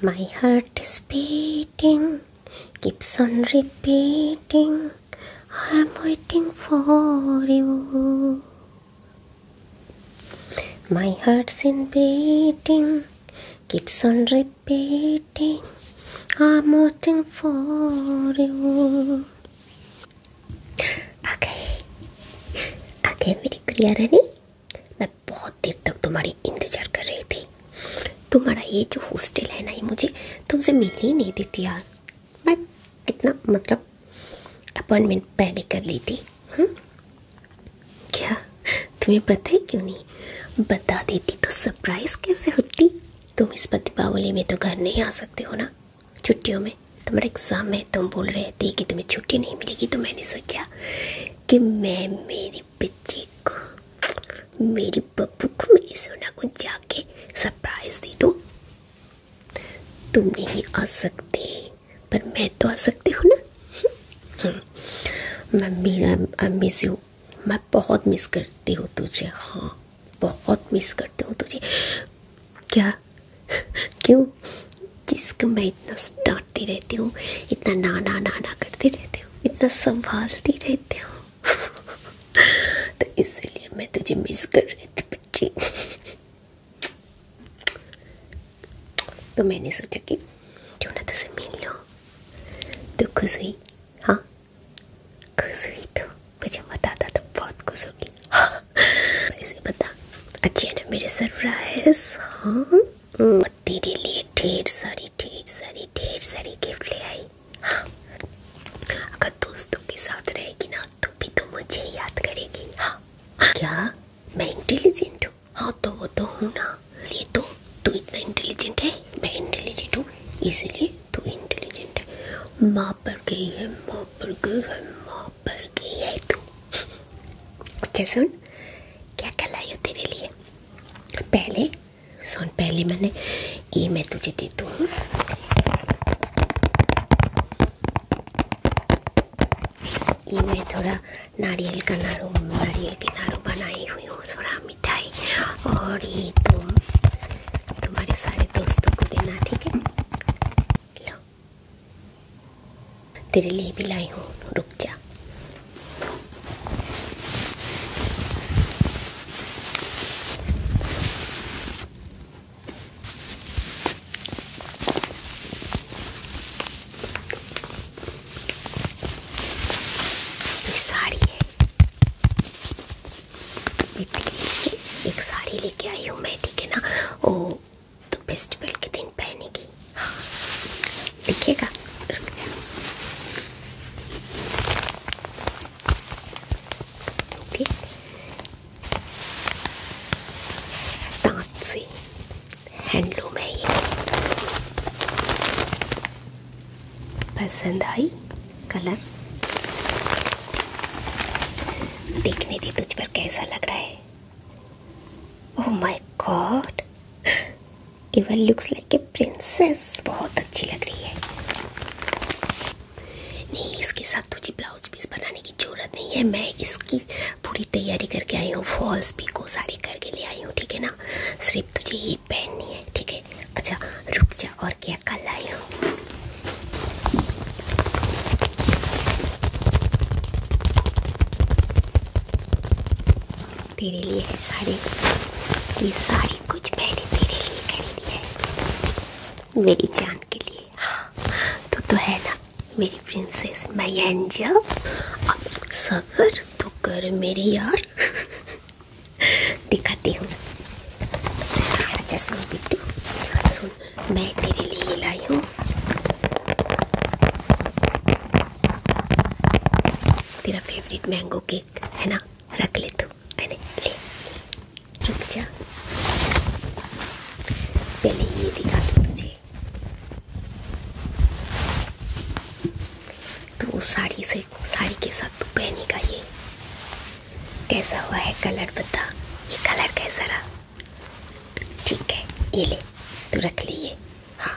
My heart is beating, keeps on repeating, I'm waiting for you. My heart's in beating, keeps on repeating, I'm waiting for you. Okay, okay, very clear, honey. मैं बहुत देर तक तुम्हारी इंतज़ार कर रही थी तुम्हारा ये जो हॉस्टल है ना ये मुझे तुमसे मिलने ही नहीं देती यार मैं कितना मतलब अपॉइंटमेंट पहले कर ली थी हुँ? क्या तुम्हें पता है क्यों नहीं बता देती तो सरप्राइज़ कैसे होती तुम इस पर दीपावली में तो घर नहीं आ सकते हो ना छुट्टियों में तुम्हारा एग्ज़ाम है तुम बोल रहे थे कि तुम्हें छुट्टी नहीं मिलेगी तो मैंने सोचा कि मैं मेरी मेरे बच्चे को मेरे पप्पू को मेरी सोना को जाके सरप्राइज दे दो तुम नहीं आ सकते पर मैं तो आ सकती हूँ ना मम्मी आई मिस यू मैं बहुत मिस करती हूँ तुझे हाँ बहुत मिस करती हूँ तुझे क्या क्यों जिसका मैं इतना स्टार डांटती रहती हूँ इतना ना ना ना ना करती रहती हूँ इतना संभालती रहती हूँ तो इसलिए मैं तुझे मिस कर रही थी बच्ची तो मैंने सोचा कि क्यों ना तुझसे मिल लो तो खुश हुई हाँ खुश हुई तो मुझे बताता तो बहुत खुश होगी हाँ इसे बता अच्छी है ना मेरे सरप्राइज हाँ और तेरे लिए ढेर सारी ढेर सारी ढेर सारी गिफ्ट ले आई हाँ। अगर दोस्तों के साथ रहेगी ना तो भी तो मुझे याद करेगी हाँ। क्या मैं इंटेलिजेंट हूँ हाँ तो वो तो हूँ ना ये तो तू इतना इंटेलिजेंट है मैं इंटेलिजेंट हूँ इसलिए तू इंटेलिजेंट है माँ पर गई है माँ पर गई है माँ पर गई है तू अच्छा सुन क्या कलाई हो तेरे लिए पहले सोन पहले मैंने ये मैं तुझे देती हूँ ये मैं थोड़ा नारियल का नाड़ू नारियल के नाड़ू बनाई हुई हूँ थोड़ा मिठाई और ये तुम तुम्हारे सारे दोस्तों को देना ठीक है लो तेरे लिए भी लाई हूँ रुक जा साड़ी है एक साड़ी लेके आई हूँ मैं ठीक है ना वो तो फेस्टिवल के दिन पहनेगी देखिएगा रुक है ये पसंद आई कलर देखने दे तुझ पर कैसा लग रहा है ओह माय गॉड केवल लुक्स लाइक a प्रिंसेस बहुत अच्छी लग रही है नहीं इसके साथ तुझे ब्लाउज पीस बनाने की जरूरत नहीं है मैं इसकी पूरी तैयारी करके आई हूँ फॉल्स भी को सारी करके ले आई हूँ ठीक है ना सिर्फ तुझे ये पहननी है ठीक है अच्छा रुक जा और क्या कल आई हूँ तेरे लिए है साड़ी ये साड़ी कुछ मैंने तेरे लिए खरीदी है मेरी जान के लिए हाँ तो तो है ना मेरी प्रिंसेस मै एंजल अब सबर तो कर मेरी यार दिखाती हूँ अच्छा सुन बिट्टू सुन मैं तेरे लिए लाई हूँ तेरा फेवरेट मैंगो केक है ना रख ले तू अरे ले रुक जा पहले ये दिखा दो तुझे तो साड़ी से साड़ी के साथ तू पहनेगा ये कैसा हुआ है कलर बता ये कलर कैसा रहा ठीक है ये ले तू रख लिए हाँ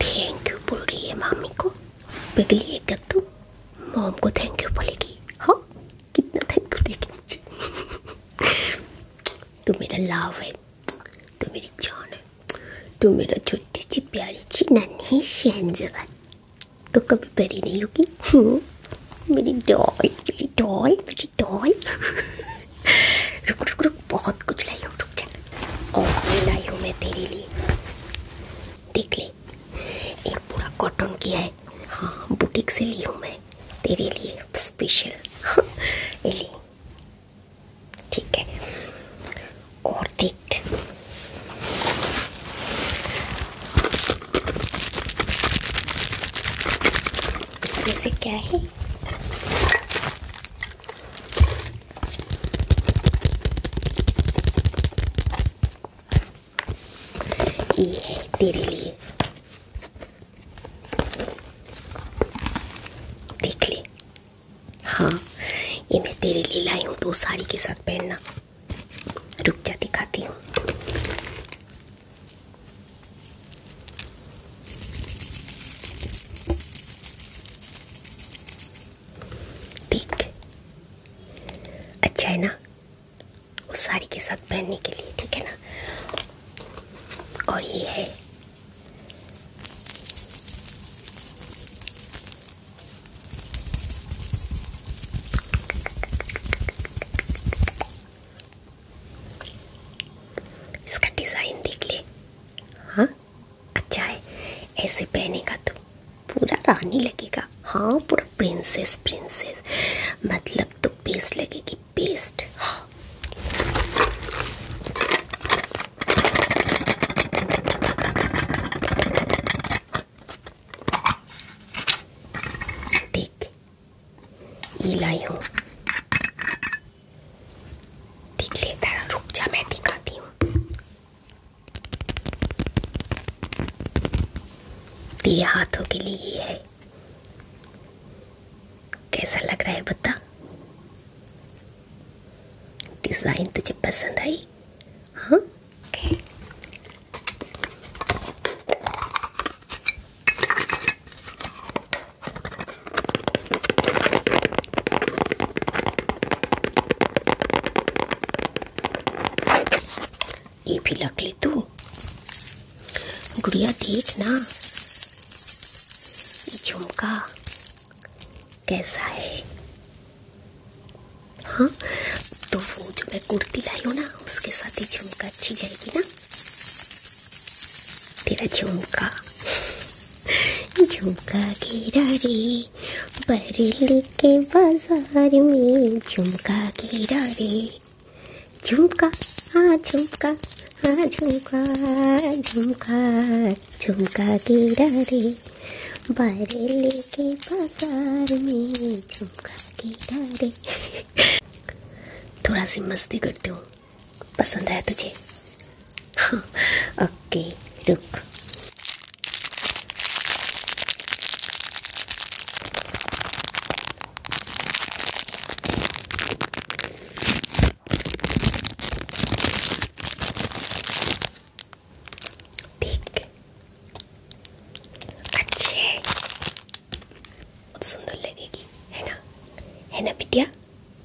थैंक यू बोल रही है मामी को पिघली एक कद्दू मॉम को थैंक यू बोलेगी हाँ कितना थैंक यू देगी मुझे तू मेरा लाभ है तू मेरी जान है तू मेरा छोटी सी प्यारी सी नन्ही शहनजगा तो कभी बड़ी नहीं होगी मेरी डॉल मेरी डॉल मेरी डॉल रुक रुक रुक बहुत कुछ लाई हूँ रुक जा और लाई हूँ मैं तेरे लिए देख ले एक पूरा कॉटन की है हाँ बुटीक से ली हूँ मैं तेरे लिए स्पेशल ठीक है और देख इसमें से क्या है ये है तेरे लिए देख ले हाँ ये मैं तेरे लिए लाई हूँ दो साड़ी के साथ पहनना रुक जा दिखाती हूँ ठीक अच्छा है ना उस साड़ी के साथ पहनने के लिए ठीक है ना और ये है इसका डिज़ाइन देख ले हाँ अच्छा है ऐसे पहनेगा तो पूरा रानी लगेगा हाँ पूरा प्रिंसेस प्रिंसेस मतलब तो पेस्ट लगेगी पेस्ट हाँ देख ये लाई हूँ दिख दिखाती हूँ हाथों के लिए ये है कैसा लग रहा है बता डिजाइन तुझे पसंद आई हाँ ये भी रख ले तू गुड़िया देख ना ये झुमका कैसा है हाँ तो वो जो मैं कुर्ती लाई हूँ ना उसके साथ ही झुमका अच्छी जाएगी ना तेरा झुमका झुमका गिरा रे बरेली के बाजार में झुमका गिरा रे झुमका हाँ झुमका हाँ झुमका झुमका झुमका गिरा रे बरेली के बाजार में झुमका गिरा रे थोड़ा सी मस्ती करती हूँ पसंद आया तुझे हाँ ओके रुक ठीक अच्छे सुंदर लगेगी है ना है ना बिटिया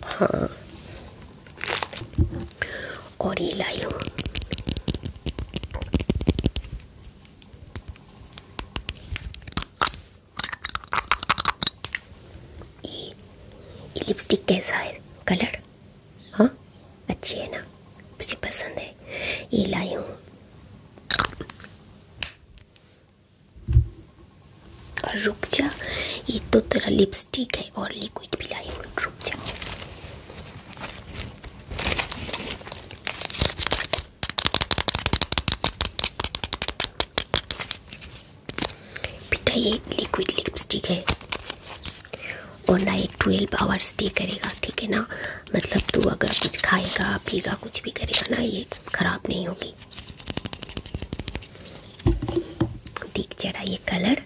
हाँ और ये लाई लिपस्टिक कैसा है कलर हाँ अच्छी है ना तुझे पसंद है ये लाई हूँ और रुक जा ये तो तेरा लिपस्टिक है और लिक्विड भी लाई रुक जा बेटा ये लिक्विड लिपस्टिक है और ना ये ट्वेल्व आवर स्टे करेगा ठीक है ना मतलब तू अगर कुछ खाएगा पीएगा कुछ भी करेगा ना ये खराब नहीं होगी दिख जरा ये कलर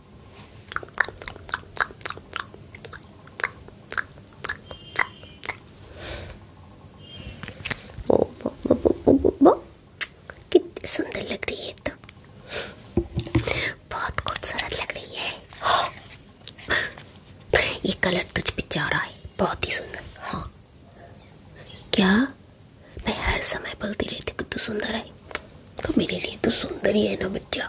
तो हाँ। ये कलर तुझ पे है बहुत ही सुंदर हाँ क्या मैं हर समय बोलती रहती कि तू सुंदर है तो सुंदर ही है ना बच्चा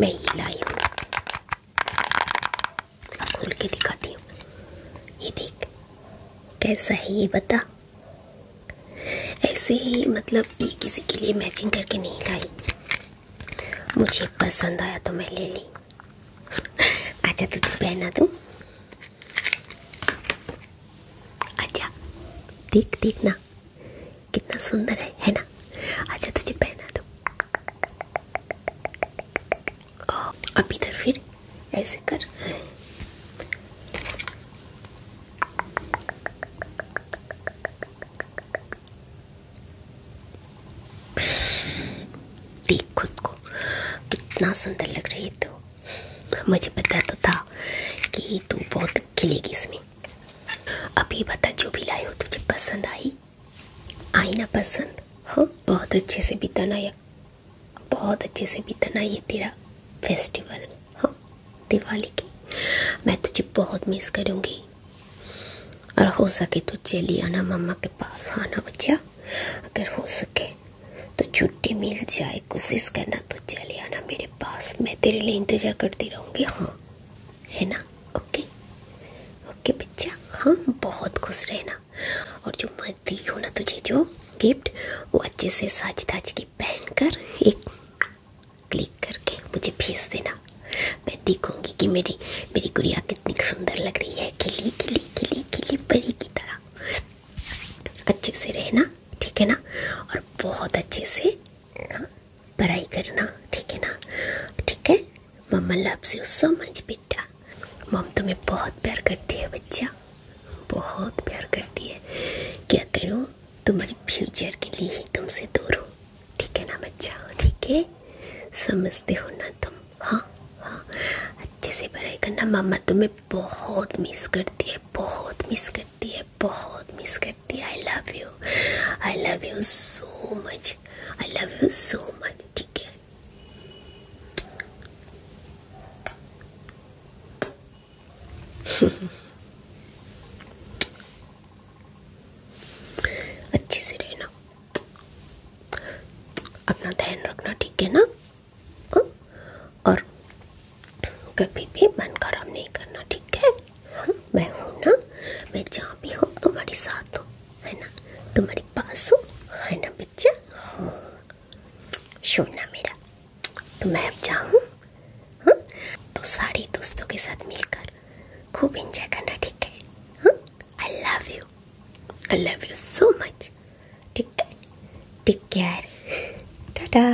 मैं ये लाई हूँ खोल के दिखाती हूँ ये देख कैसा है ये बता ऐसे ही मतलब ये किसी के लिए मैचिंग करके नहीं लाई मुझे पसंद आया तो मैं ले ली अच्छा तुझे पहना दूँ अच्छा देख देखना कितना सुंदर है है ना अच्छा तुझे पहना दो अब इधर फिर ऐसे कर देख खुद को कितना सुंदर लग रही है तो मुझे पता तो था कि तू बहुत खिलेगी इसमें अभी बता जो भी लाए हो तुझे पसंद आई आई ना पसंद हाँ बहुत अच्छे से बिताना या बहुत अच्छे से बिताना ये तेरा फेस्टिवल हाँ दिवाली की मैं तुझे बहुत मिस करूँगी और हो सके तो चली आना मम्मा के पास हाँ ना बच्चा अगर हो सके तो छुट्टी मिल जाए कोशिश करना तो चले आना मेरे पास मैं तेरे लिए इंतज़ार करती रहूँगी हाँ है ना ओके ओके बच्चा हाँ बहुत खुश रहना और जो मैं दी हूँ ना तुझे जो गिफ्ट वो अच्छे से साज ताज की पहन कर एक क्लिक करके मुझे भेज देना मैं देखूँगी कि मेरी मेरी गुड़िया कितनी सुंदर लग रही है खिली खिली खिली खिली परी की तरह अच्छे से रहना ठीक है ना और बहुत अच्छे से पढ़ाई करना ठीक है ना ठीक है मम्मा लव्स यू सो मच बेटा मम तुम्हें बहुत प्यार करती है बच्चा बहुत प्यार करती है क्या करो तुम्हारे फ्यूचर के लिए ही तुमसे दूर हो ठीक है ना बच्चा ठीक है समझते हो ना तुम हाँ हाँ अच्छे से पढ़ाई करना मम्मा तुम्हें बहुत मिस करती है बहुत मिस करती है बहुत मिस करती है I love you I love you so much I love you so much ठीक है अच्छे से रहना अपना ध्यान रखना ठीक है ना हाँ? और कभी भी मन खराब नहीं करना ठीक है हाँ मैं हूँ ना मैं जहाँ भी हूँ तुम्हारे साथ हूँ है ना तुम्हारे पास हूँ है ना बच्चा हाँ हम्म। सुनना मेरा तो मैं अब जाऊँ हाँ तो सारे दोस्तों के साथ मिलकर खूब इंजॉय करना ठीक है हाँ I love you I love you so much ठीक है टेक केयर टाटा